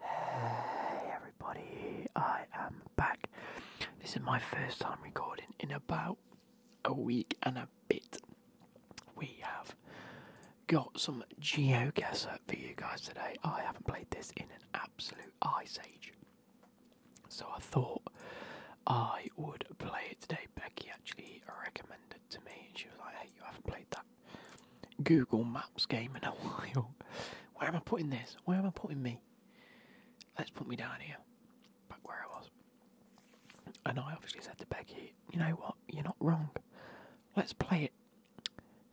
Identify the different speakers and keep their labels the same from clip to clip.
Speaker 1: Hey everybody, I am back. This is my first time recording in about a week and a bit. We have got some geoguesser for you guys today. I haven't played this in an absolute ice age. So I thought I would play it today. Becky actually recommended it to me and she was like, hey, you haven't played that Google Maps game in a while. Where am I putting this? Where am I putting me? Let's put me down here, back where I was. And I obviously said to Becky, you know what, you're not wrong. Let's play it.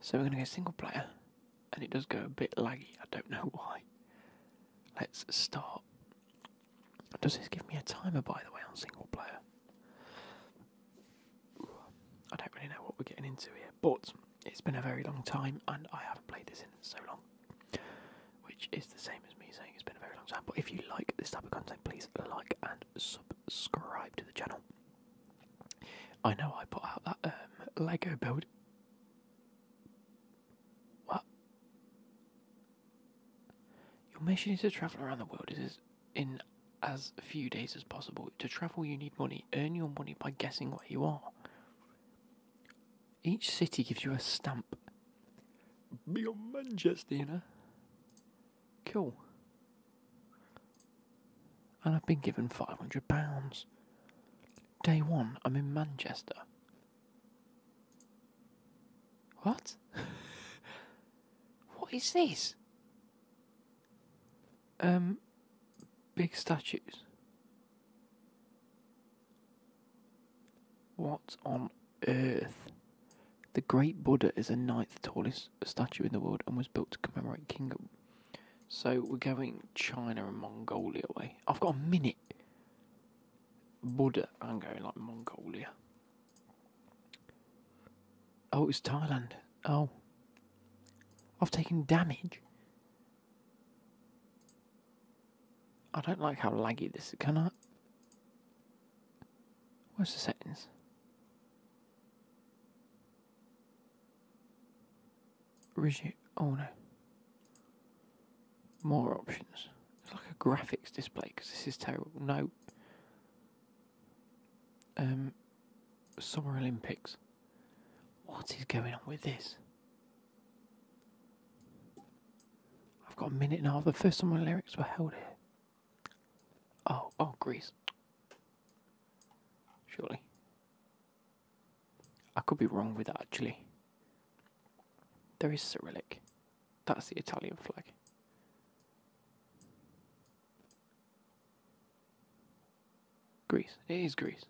Speaker 1: So we're going to go single player, and it does go a bit laggy, I don't know why. Let's start. Does this give me a timer, by the way, on single player? I don't really know what we're getting into here, but it's been a very long time and I haven't played this in so long, which is the same as me saying it's been a very long time. But if you like this type of content, please like and subscribe to the channel. I know I put out that um, Lego build. What? Your mission is to travel around the world. Is in as few days as possible. To travel, you need money. Earn your money by guessing what you are. Each city gives you a stamp. Beyond Manchester, you know? Cool. And I've been given £500. Day one, I'm in Manchester. What? what is this? um, big statues. What on earth? The Great Buddha is the ninth tallest statue in the world and was built to commemorate King. So we're going China and Mongolia way. I've got a minute. Buddha, I'm going like Mongolia. Oh, it was Thailand. Oh. I've taken damage. I don't like how laggy this is. Can I? Where's the settings? Rigid. Oh no. More options. It's like a graphics display because this is terrible. No. Um, Summer Olympics. What is going on with this? I've got a minute now. The first Summer Olympics were held here. Oh, oh, Greece. Surely. I could be wrong with that actually. There is Cyrillic. That's the Italian flag. Greece. It is Greece.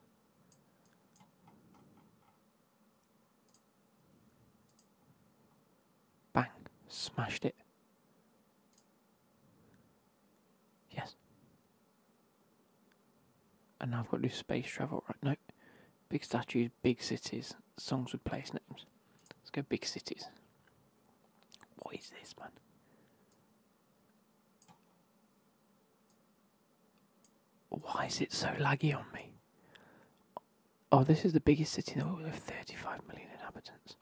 Speaker 1: Bang. Smashed it. Yes. And now I've got to space travel. Right, no. Big statues, big cities, songs with place names. Let's go big cities. What is this, man? Why is it so laggy on me? Oh, this is the biggest city in the world with 35 million inhabitants.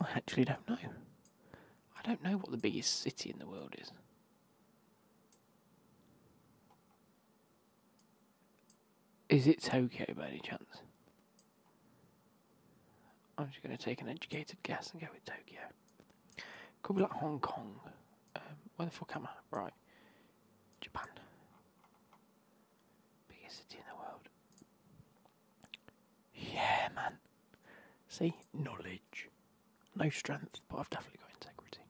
Speaker 1: I actually don't know. I don't know what the biggest city in the world is. Is it Tokyo by any chance? I'm just going to take an educated guess and go with Tokyo. Could be like Hong Kong. Um, where the fuck am I? Right. Japan. Biggest city in the world. Yeah, man. See? Knowledge. No strength, but I've definitely got integrity.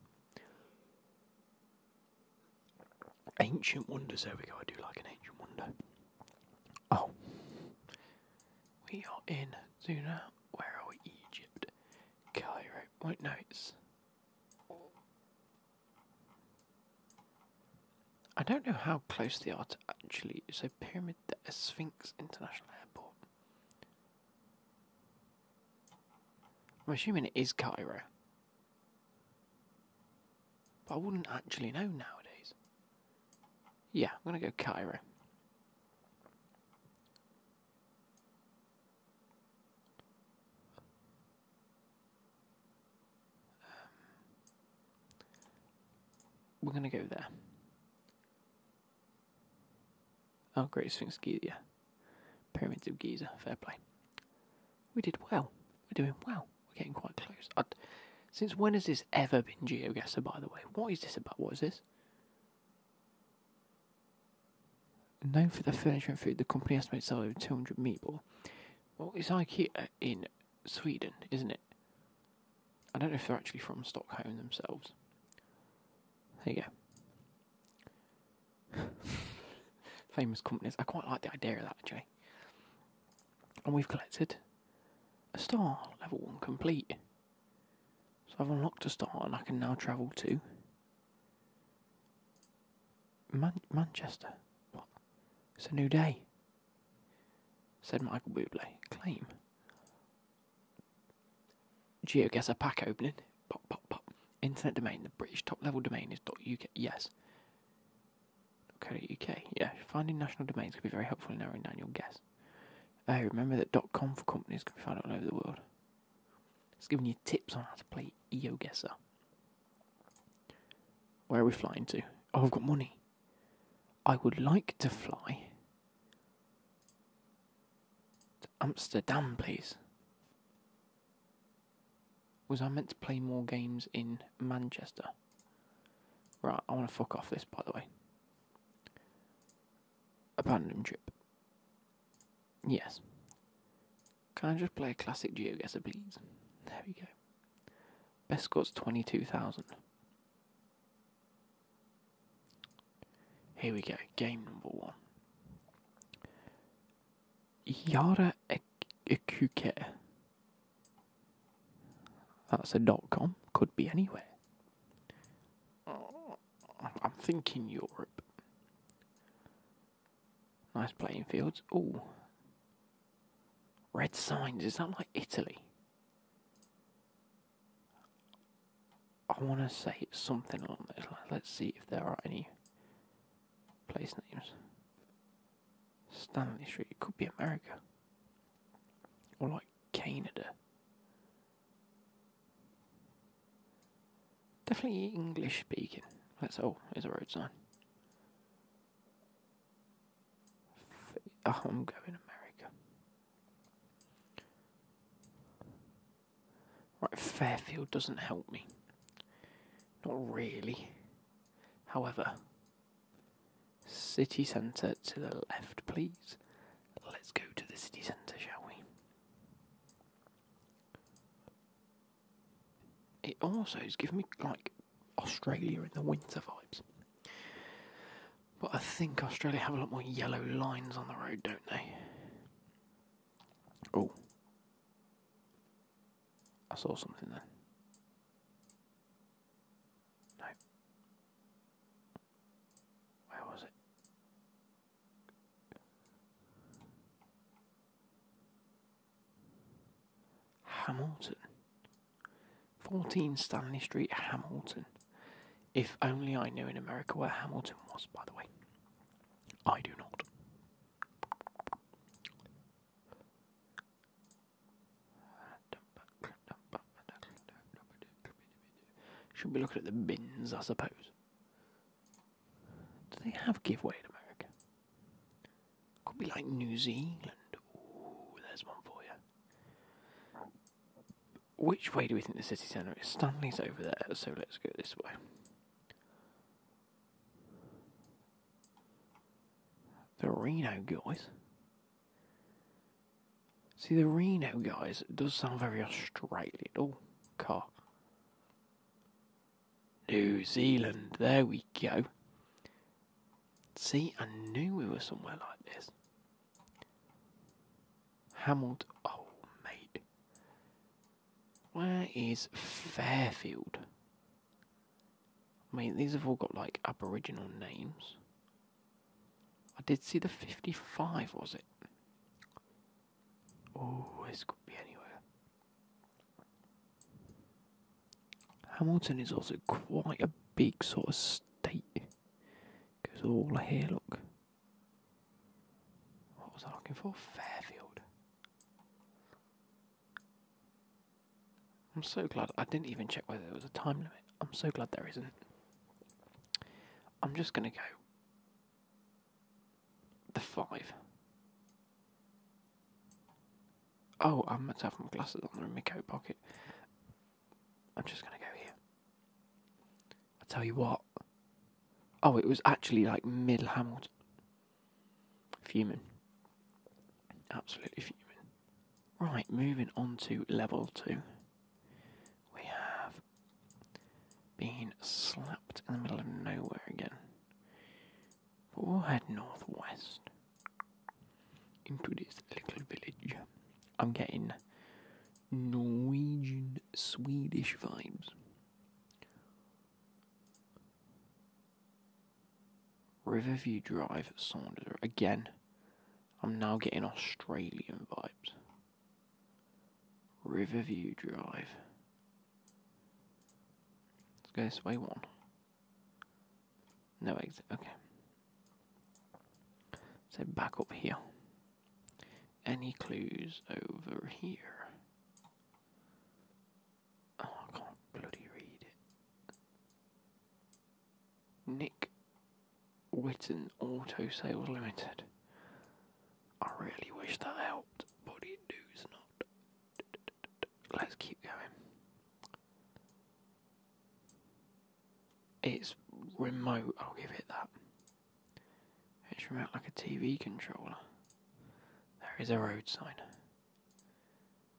Speaker 1: Ancient wonders. There we go. I do like an ancient wonder. Oh. We are in Zuna. Where are we? Egypt. Cairo. Wait, notes. I don't know how close they are to actually. So, Pyramid there, Sphinx International Airport. I'm assuming it is Cairo. But I wouldn't actually know nowadays. Yeah, I'm going to go Cairo. Um, we're going to go there. Oh, Great Sphinx Giza. Pyramids of Giza. Fair play. We did well. We're doing well. We're getting quite close. since when has this ever been GeoGuessr, by the way? What is this about? What is this? Known for their furniture and food, the company estimates sales over 200 meatball. Well, it's IKEA in Sweden, isn't it? I don't know if they're actually from Stockholm themselves. There you go. Famous companies. I quite like the idea of that, actually. And we've collected a star, level 1 complete. So I've unlocked a star and I can now travel to Manchester. What? It's a new day, said Michael Bublé. Claim. GeoGuessr pack opening. Pop, pop, pop. Internet domain. The British top level domain is .uk. Yes. UK. Yeah, finding national domains could be very helpful in narrowing down your guess. Hey, remember that .com for companies can be found all over the world. It's giving you tips on how to play EOGuessr. Where are we flying to? Oh, I've got money. I would like to fly to Amsterdam, please. Was I meant to play more games in Manchester? Right, I want to fuck off this, by the way. Abandon trip. Yes. Can I just play a classic GeoGuessr, please? There we go. Best score's 22,000. Here we go, game number one. Yara Ekuke. That's a dot com. Could be anywhere. Oh, I'm thinking Europe. Nice playing fields. Oh, red signs. Is that like Italy? I want to say it's something on those Let's see if there are any place names. Stanley Street. It could be America. Or like Canada. Definitely English speaking. That's all. oh, a road sign. Oh, I'm going America. Right, Fairfield doesn't help me. Not really. However, City centre to the left, please. Let's go to the city centre, shall we? It also is giving me like Australia in the winter vibes. But I think Australia have a lot more yellow lines on the road, don't they? Oh. I saw something there. No. Where was it? Hamilton. 14 Stanley Street, Hamilton. If only I knew in America where Hamilton was, by the way. I do not. Should we look at the bins, I suppose. Do they have giveaway in America? Could be like New Zealand. Ooh, there's one for you. Which way do we think the city centre is? Stanley's over there, so let's go this way. The Reno guys. See, the Reno guys does sound very Australian. Oh, car. New Zealand, there we go. See, I knew we were somewhere like this. Hamilton, oh, mate. Where is Fairfield? I mean, these have all got like Aboriginal names. I did see the 55, was it? Oh, this could be anywhere. Hamilton is also quite a big sort of state. Goes all here, look. What was I looking for? Fairfield. I'm so glad I didn't even check whether there was a time limit. I'm so glad there isn't. I'm just going to go the five. Oh, I meant to have my glasses on. they pocket. I'm just going to go here. I tell you what. Oh, it was actually like mid Hamilton. Fuming. Absolutely fuming. Right, moving on to level two. We have been slapped in the middle of nowhere again. But we'll head northwest into this little village. I'm getting Norwegian Swedish vibes. Riverview Drive, Saunders. Again, I'm now getting Australian vibes. Riverview Drive. Let's go this way one. No exit, okay. So back up here. Any clues over here? Oh, I can't bloody read it. Nick Witten Auto Sales Limited. I really wish that helped, but it does not. Let's keep going. It's remote, I'll give it that. It's remote like a TV controller. There is a road sign.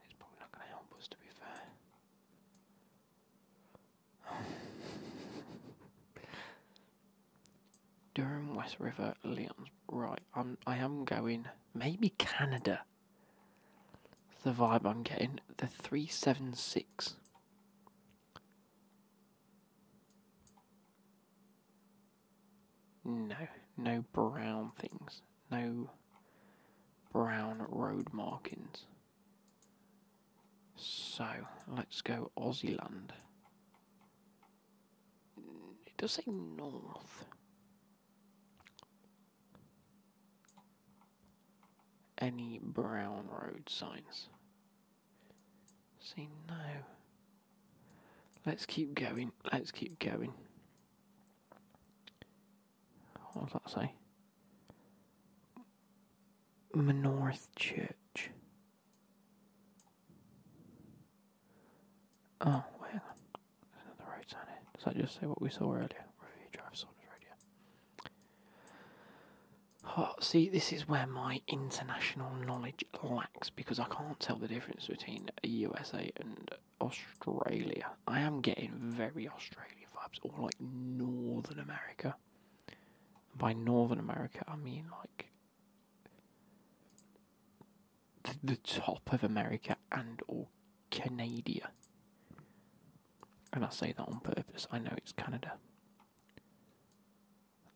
Speaker 1: It's probably not going to help us, to be fair. Durham, West River, Leon's Right, I'm. I am going. Maybe Canada. The vibe I'm getting. The three seven six. No, no brown things no brown road markings. So let's go Aussie It does say north. Any brown road signs? See, no. Let's keep going, let's keep going what does that say? Menorth Church. Oh, wait, hang on. There's another sign Does that just say what we saw earlier? Review Drive Saunders Radio. Oh, see, this is where my international knowledge lacks because I can't tell the difference between a USA and Australia. I am getting very Australian vibes, or like Northern America. by Northern America, I mean like the, top of America and all Canada. And I say that on purpose. I know it's Canada.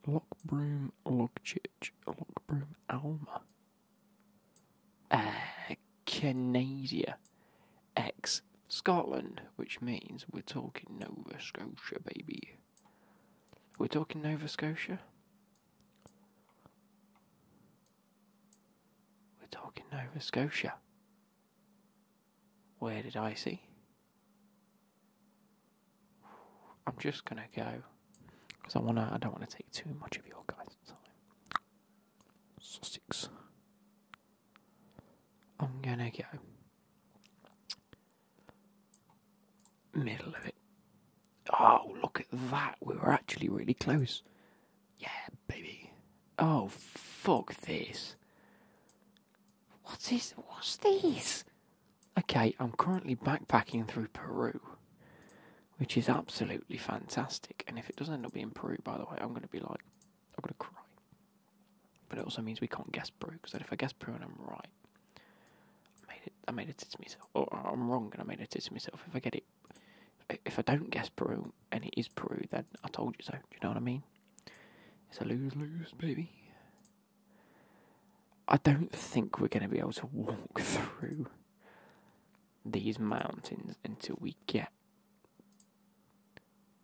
Speaker 1: Lockbroom Logchich. Lockbroom Alma. Canada, ex Scotland, which means we're talking Nova Scotia, baby. We're talking Nova Scotia? We're talking Nova Scotia. Where did I see? I'm just gonna go because I wanna. I don't want to take too much of your guys' time six. I'm gonna go middle of it. Oh, look at that. We were actually really close. Yeah, baby. Oh, fuck this. What's this? What's this? Okay, I'm currently backpacking through Peru which is absolutely fantastic. And if it doesn't end up being Peru, by the way, I'm going to be like, I'm going to cry. But it also means we can't guess Peru, because if I guess Peru and I'm right, I made it, I made it tit to myself. I'm wrong and I made it tit to myself. If I get it, if I don't guess Peru and it is Peru, then I told you so. Do you know what I mean? It's a lose lose, baby. I don't think we're going to be able to walk through these mountains until we get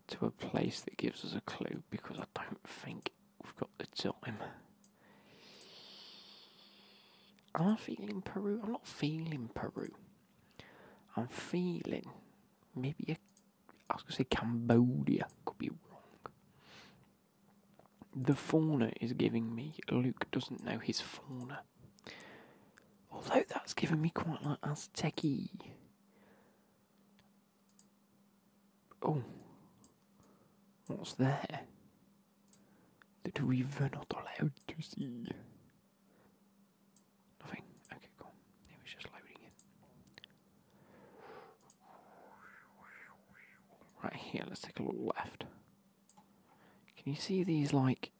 Speaker 1: to a place that gives us a clue because I don't think we've got the time. i Am I feeling Peru? I'm not feeling Peru. I'm feeling maybe I was gonna say Cambodia could be wrong. The fauna is giving me Luke doesn't know his fauna. Although that's given me quite like Azteci. Oh, what's there? That we were not allowed to see. Nothing. Okay, cool. It was just loading in. Right here, let's take a look left. Can you see these like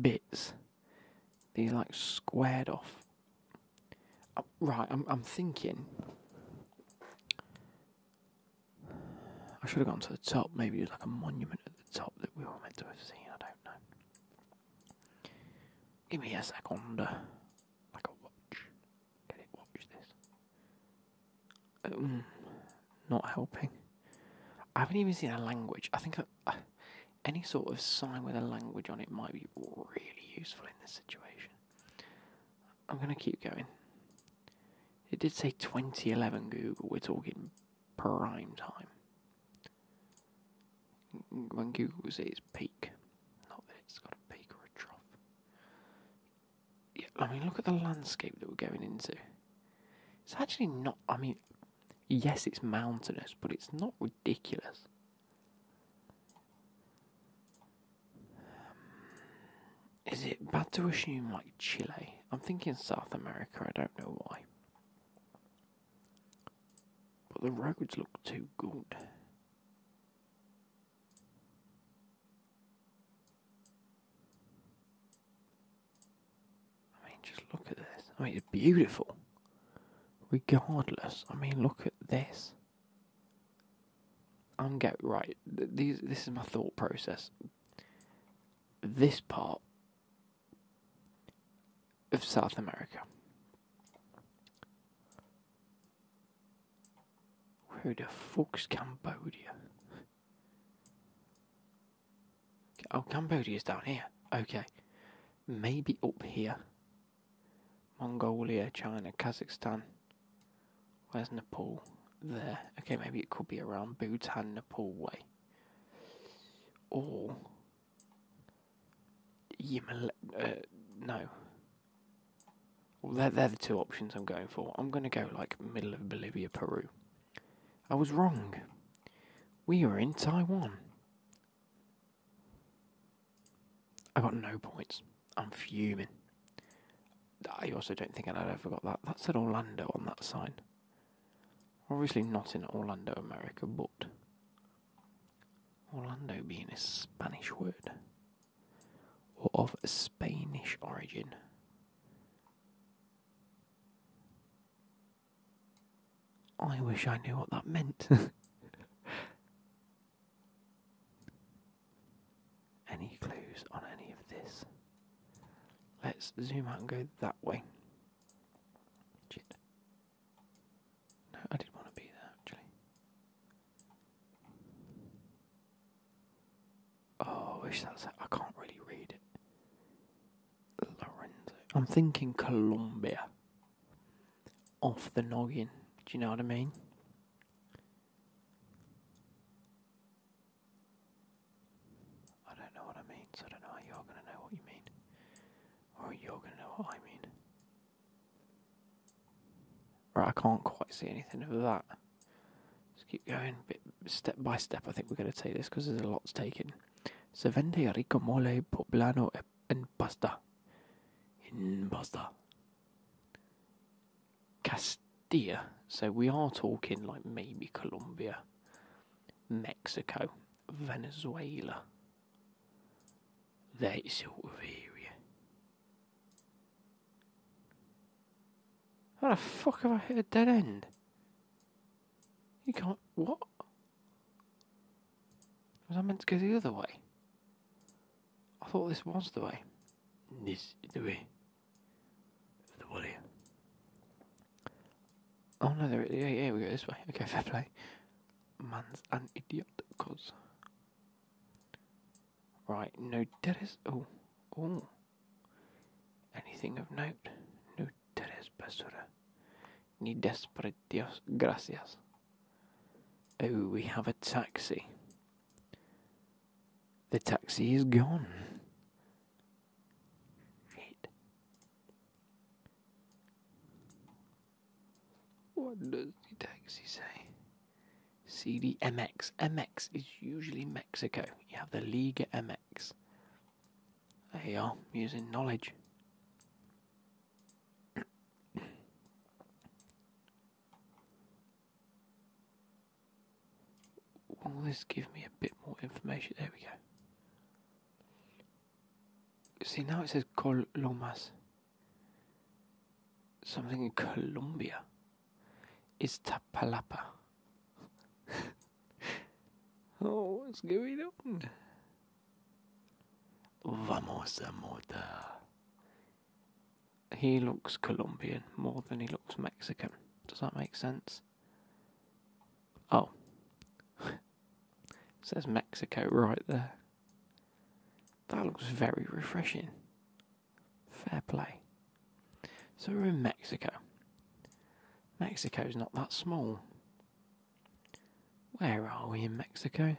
Speaker 1: bits. These like squared off. Oh, right, I'm thinking. I should have gone to the top. Maybe there's like a monument at the top that we were meant to have seen. I don't know. Give me a second. Like a watch. Can it watch this? um, not helping. I haven't even seen a language. I think uh, any sort of sign with a language on it might be really useful in this situation. I'm going to keep going. It did say 2011 Google. We're talking prime time. When Google was at its peak. Not that it's got a peak or a trough. I mean, look at the landscape that we're going into. It's actually not, I mean, yes, it's mountainous, but it's not ridiculous. is it bad to assume like Chile? I'm thinking South America, I don't know why. But the roads look too good. I mean, just look at this. I mean, it's beautiful. Regardless, I mean, look at this. I'm get right. Th this is my thought process. This part of South America. Where the fuck's Cambodia? Oh, Cambodia's down here. Okay. Maybe up here. Mongolia, China, Kazakhstan. Where's Nepal? There. Okay, maybe it could be around Bhutan, Nepal way. Or. Yimal. Uh, no. they're the two options I'm going for. I'm going to go like middle of Bolivia, Peru. I was wrong. We were in Taiwan. I got no points. I'm fuming. I also don't think I'd ever got that. That's said Orlando on that sign. Obviously not in Orlando, America, but Orlando being a Spanish word or of Spanish origin. I wish I knew what that meant. any clues on any of this? Let's zoom out and go that way. No, I didn't want to be there actually. Oh, I wish that's. I can't really read it. Lorenzo. I'm thinking Colombia. Off the noggin. Do you know what I mean? I don't know what I mean, so I don't know you're going to know what you mean. Or you're going to know what I mean. Right, I can't quite see anything of that. Let's keep going, bit step by step. I think we're going to take this because there's a lot to take in. Se vende rico mole poblano en pasta. In pasta. Castilla. So we are talking like maybe Colombia, Mexico, Venezuela. That sort of area. How the fuck have I hit a dead end? You can't... What? Was I meant to go the other way? I thought this was the way. This is the way. The one here. Oh no, there, yeah, yeah, we go this way. Okay, fair play. Man's an idiot, cause. Right, no, dead Oh, oh. Anything of note? No tres basura. Ni desperate gracias. Oh, we have a taxi. The taxi is gone. Shit. What does the taxi say? CDMX. MX is usually me Mexico. You have the Liga MX. There you are, using knowledge. Will this give me a bit more information? There we go. See, now it says Colomas. Something in Colombia. Iztapalapa. oh, what's going on? Vamos a mortar. He looks Colombian more than he looks Mexican. Does that make sense? Oh. says Mexico right there. That looks very refreshing. Fair play. So we're in Mexico. Mexico is not that small. Where are we in Mexico?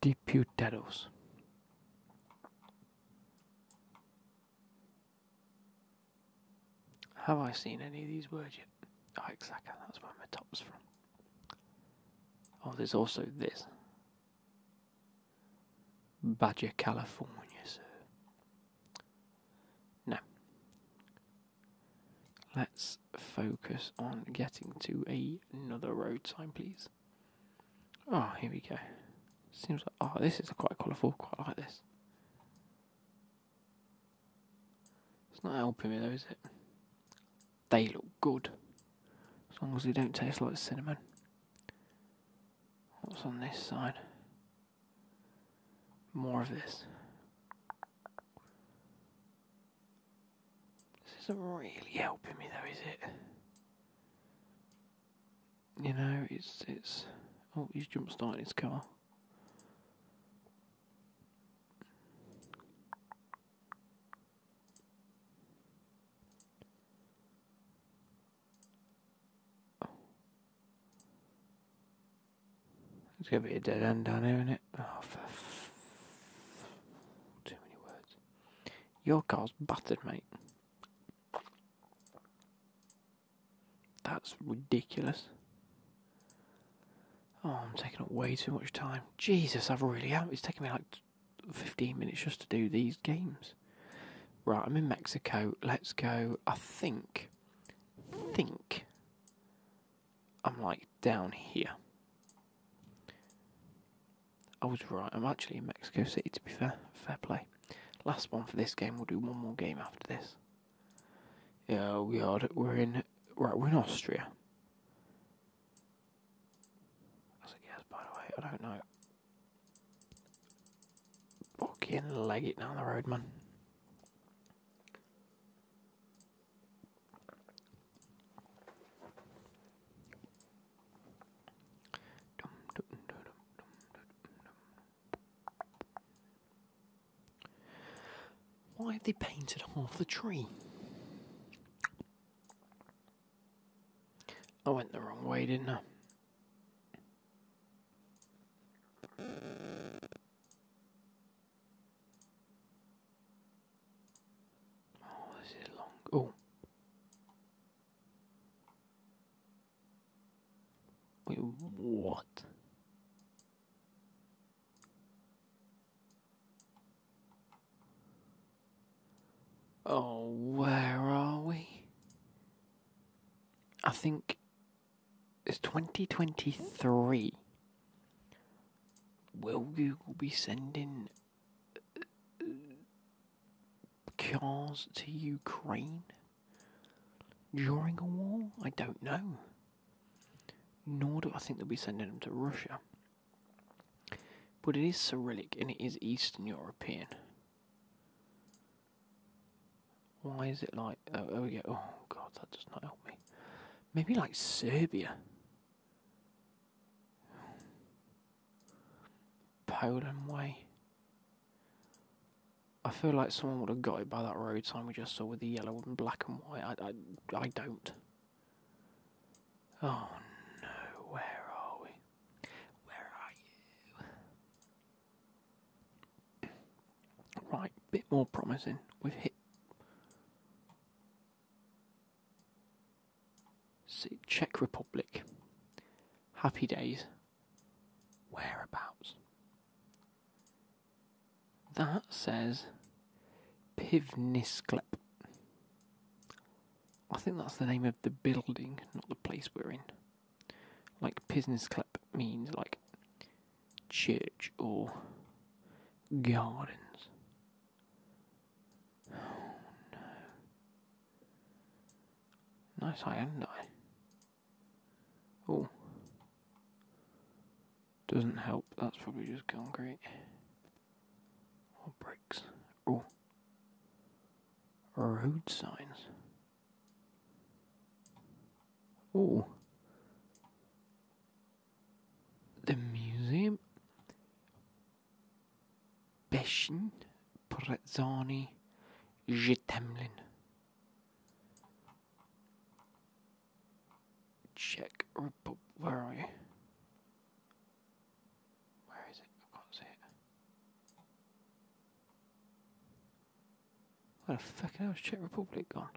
Speaker 1: Diputados. Have I seen any of these words yet? Oh, exactly. That where my top's from. Oh, there's also this. Badger, California, sir. No. Let's focus on getting to a, another road sign, please. Oh, here we go. Seems like, oh, this is quite colourful, quite like this. It's not helping me though, is it? They look good. As long as they don't taste like cinnamon. What's on this side? More of this. This isn't really helping me though, is it? You know, it's it's oh he's jump starting his car. Oh. There's gonna be a dead end down here, isn't it? Oh, too many words. Your car's battered, mate. That's ridiculous. Oh, I'm taking up way too much time. Jesus, I've really am. It's taking me like 15 minutes just to do these games. Right, I'm in Mexico. Let's go. I think, think I'm like down here. I was right. I'm actually in Mexico City, to be fair. Fair play. Last one for this game. We'll do one more game after this. Yeah, we are. We're in. Right, we're in Austria. That's guess, by the way. I don't know. Fucking leg it down the road, man. Why have they painted half the tree? I went the wrong way, didn't I? Oh, this is long. Oh. Wait, what? Oh, where are we? I think it's 2023. Will Google be sending uh, cars to Ukraine during a war? I don't know. Nor do I think they'll be sending them to Russia. But it is Cyrillic and it is Eastern European. Why is it like. Oh, oh Oh, God, that does not help me. Maybe like Serbia. Poland way. I feel like someone would have got it by that road sign we just saw with the yellow and black and white. I, I, I don't. Oh no, where are we? Where are you? Right, bit more promising. We've hit. See, Czech Republic. Happy days. Whereabouts? That says Pivnisklep. I think that's the name of the building, not the place we're in. Like Pivnisklep means like church or gardens. Oh, nice eye, haven't I? Oh. Doesn't help, that's probably just concrete. Or bricks. Oh. Road signs. Oh. The museum. Beshin Prezzani Jitemlin. Czech Republic. Where are we? Where is it? I can't see it. Where the fuck hell's Czech Republic gone?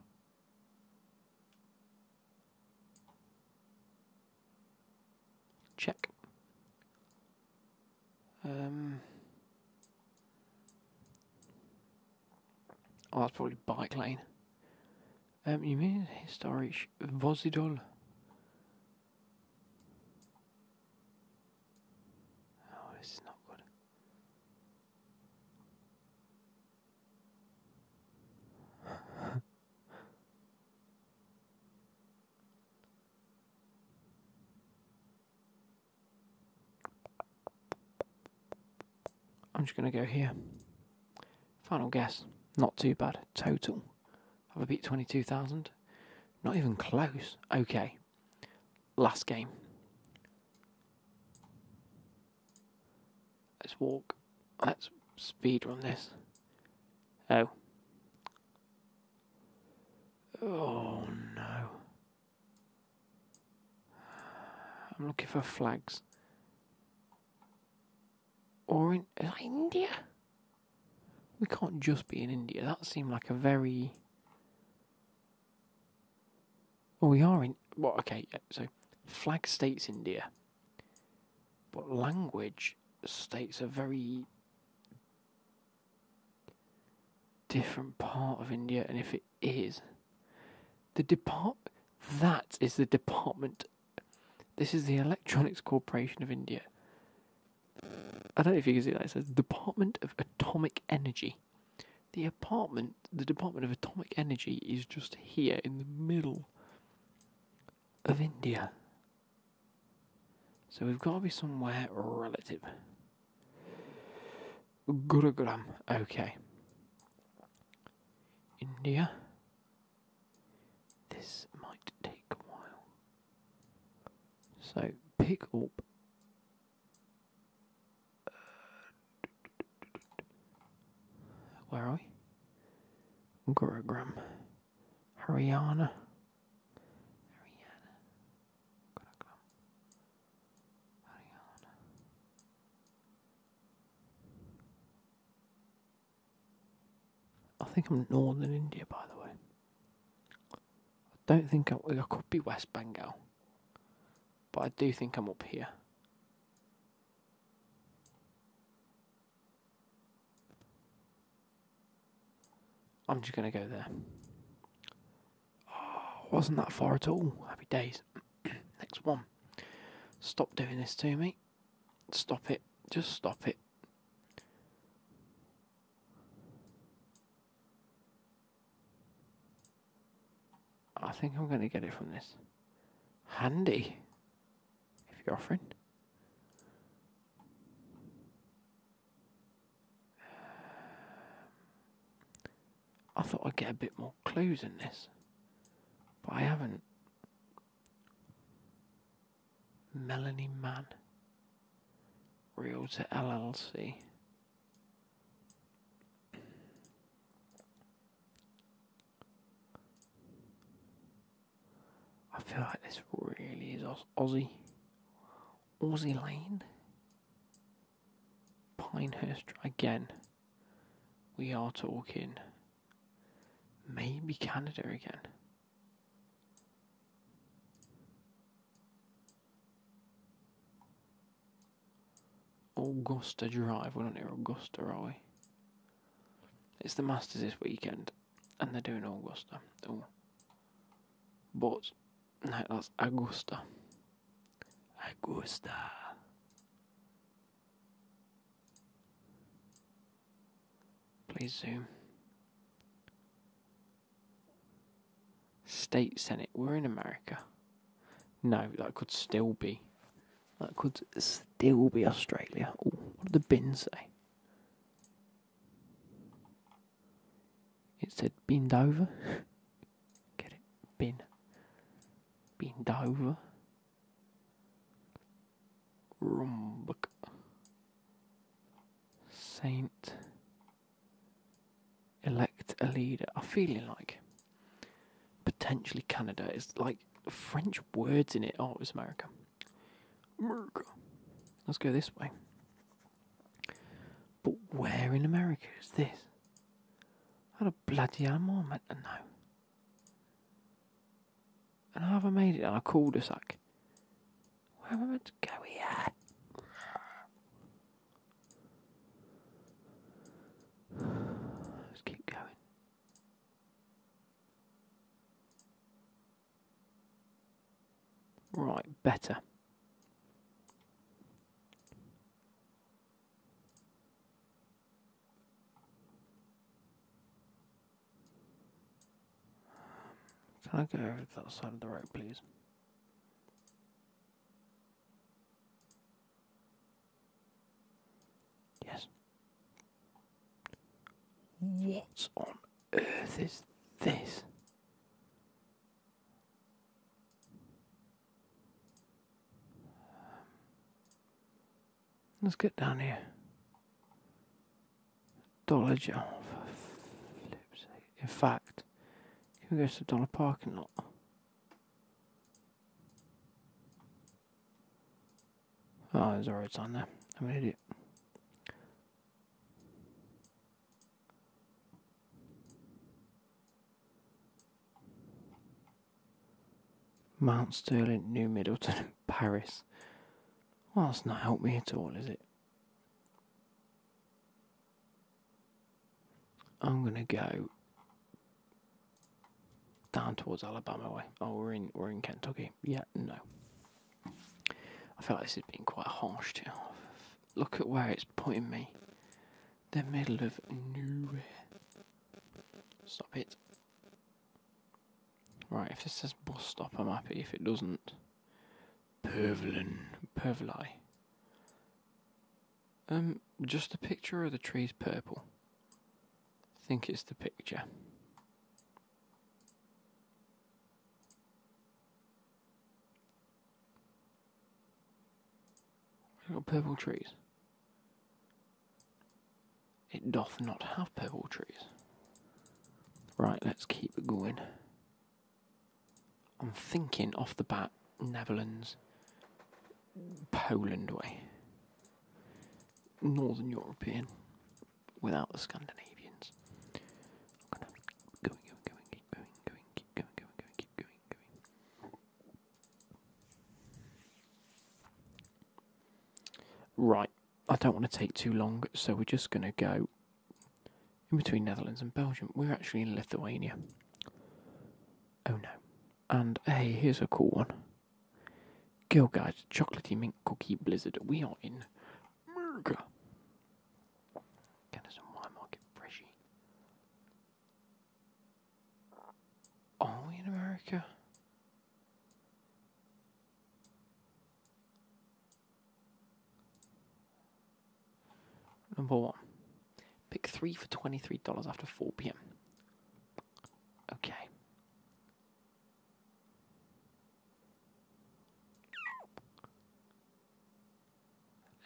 Speaker 1: Check. Um. Oh, that's probably bike lane. Um, you mean historisch Vozidol? Oh, this is not good. I'm just going to go here. Final guess. Not too bad. Total. Have I beat 22,000? Not even close. Okay. Last game. Let's walk. Let's speed run this. Oh. Oh no. I'm looking for flags. Or in India? We can't just be in India. That seemed like a very. Well, we are in. Well, okay, so flag states India. But language states a very different part of India, and if it is The depart that is the department. This is the Electronics Corporation of India. I don't know if you can see that. It says Department of Atomic Energy. The apartment, the Department of Atomic Energy, is just here in the middle of India. So we've got to be somewhere relative. Gurugram. Okay. India. This might take a while. So pick up. where are we? Gurugram. Haryana. Haryana. Gurugram. Haryana. I think I'm northern India, by the way. I don't think I, could be West Bengal, but I do think I'm up here. I'm just going to go there. Oh, wasn't that far at all. Happy days. Next one. Stop doing this to me. Stop it. Just stop it. I think I'm going to get it from this. Handy. If you're offering. I thought I'd get a bit more clues in this, but I haven't. Melanie Mann, Realtor LLC. I feel like this really is Aussie. Aussie Lane. Pinehurst again. We are talking maybe Canada again. Augusta Drive. We're not near Augusta, are we? It's the Masters this weekend, and they're doing Augusta. Oh. But, no, that's Augusta. Augusta. Please zoom. State Senate. We're in America. No, that could still be. That could still be Australia. what do the bins say? It said bend over. Get it? Bin. Bend over. Rumbuk. Saint. Elect a leader. I'm feeling like potentially Canada. is like French words in it. Oh, it's America. America. Let's go this way. But where in America is this? Not a bloody animal, I meant to know. And I haven't made it on a cul-de-sac. Where am I meant to go here? Let's keep going. Right, better. Um, can I go over to the other side of the road, please? Yes. What on earth is this? Um, let's get down here. Dollar General. In fact, can we go to the dollar parking lot? Oh, there's a road sign there. I'm an idiot. Mount Sterling, New Middleton, Paris. Well, that's not helped me at all, is it? I'm gonna go down towards Alabama way. Oh, we're in we're in Kentucky. Yeah, no. I feel like this has been quite harsh. Too. Look at where it's putting me the middle of nowhere. Stop it. Right, if this says bus stop, I'm happy. If it doesn't, Pervelin, Pervli. Um, just the picture of the trees purple. think it's the picture. Little purple trees. It doth not have purple trees. Right, let's keep it going. I'm thinking off the bat, Netherlands, Poland way. Northern European, without the Scandinavians. Right, I don't want to take too long, so we're just going to go in between Netherlands and Belgium. We're actually in Lithuania. Oh no. And hey, here's a cool one. Girl Guides Chocolatey Mint Cookie Blizzard. We are in America. Get us some wine market freshy. Only in America? Number one. Pick three for $23 after 4 pm. Okay.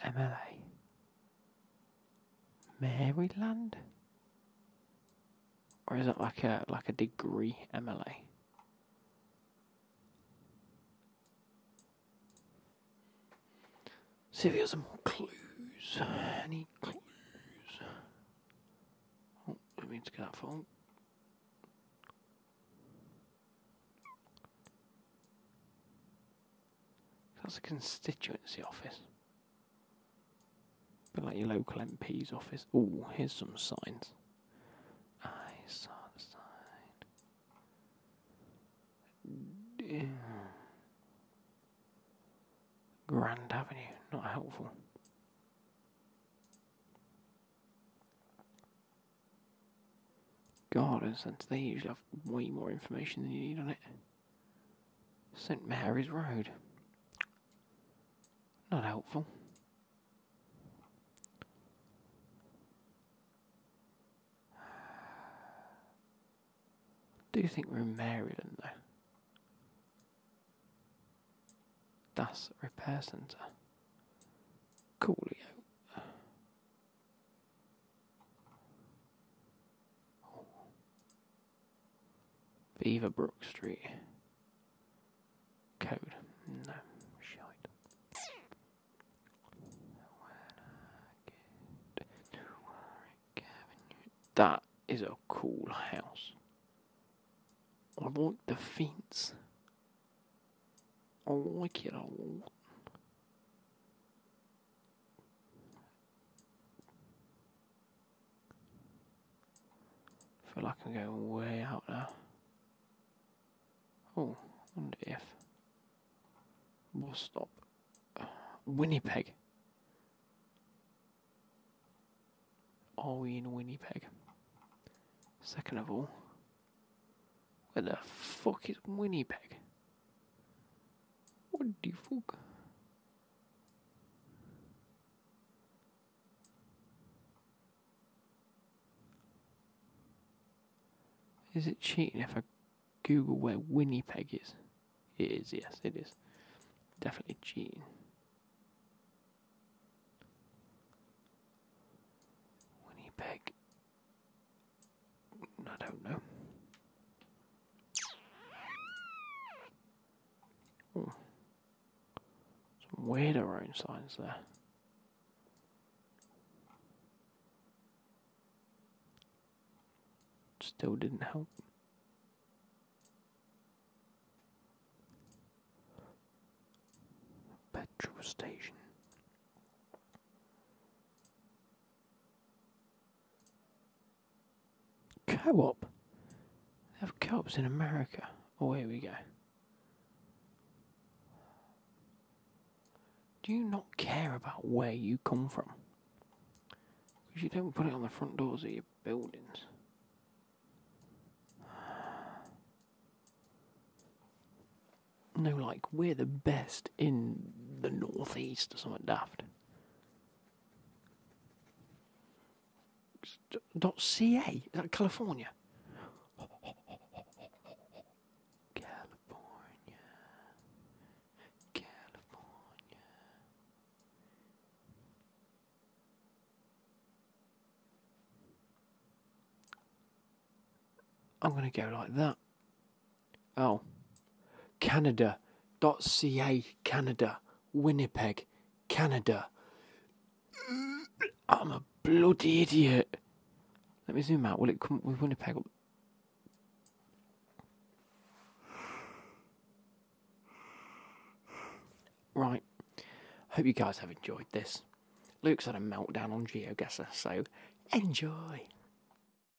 Speaker 1: MLA. Maryland? Or is it like a like a degree MLA? See if have some clues. Any clues? Oh, I mean to get that phone. That's a constituency office. But like your local MP's office. Oh, here's some signs. I saw the sign. Grand Avenue, not helpful. Gardens and they usually have way more information than you need on it. St Mary's Road. Not helpful. I do think we're in Maryland though. That's repair centre. Coolio. Beaverbrook Street. Code. No. That is a cool house. I want the fence. I like it a lot feel like I'm going way out now. Oh, wonder if we'll stop Winnipeg. Are we in Winnipeg? Second of all, where the fuck is Winnipeg? What the fuck? Is it cheating if I Google where Winnipeg is? It is, yes, it is. Definitely cheating. Winnipeg. I don't know. Some weird around signs there. Still didn't help. Petrol station. Co-op? They have co-ops in America. Oh, here we go. Do you not care about where you come from? Because you don't put it on the front doors of your buildings. No, like, we're the best in the northeast or something daft is that California. California, California. I'm going to go like that. Oh. Canada.ca, Canada. Winnipeg, Canada. I'm a bloody idiot. Let me zoom out. Will it come with Winnipeg? Right. Hope you guys have enjoyed this. Luke's had a meltdown on GeoGuessr, so enjoy.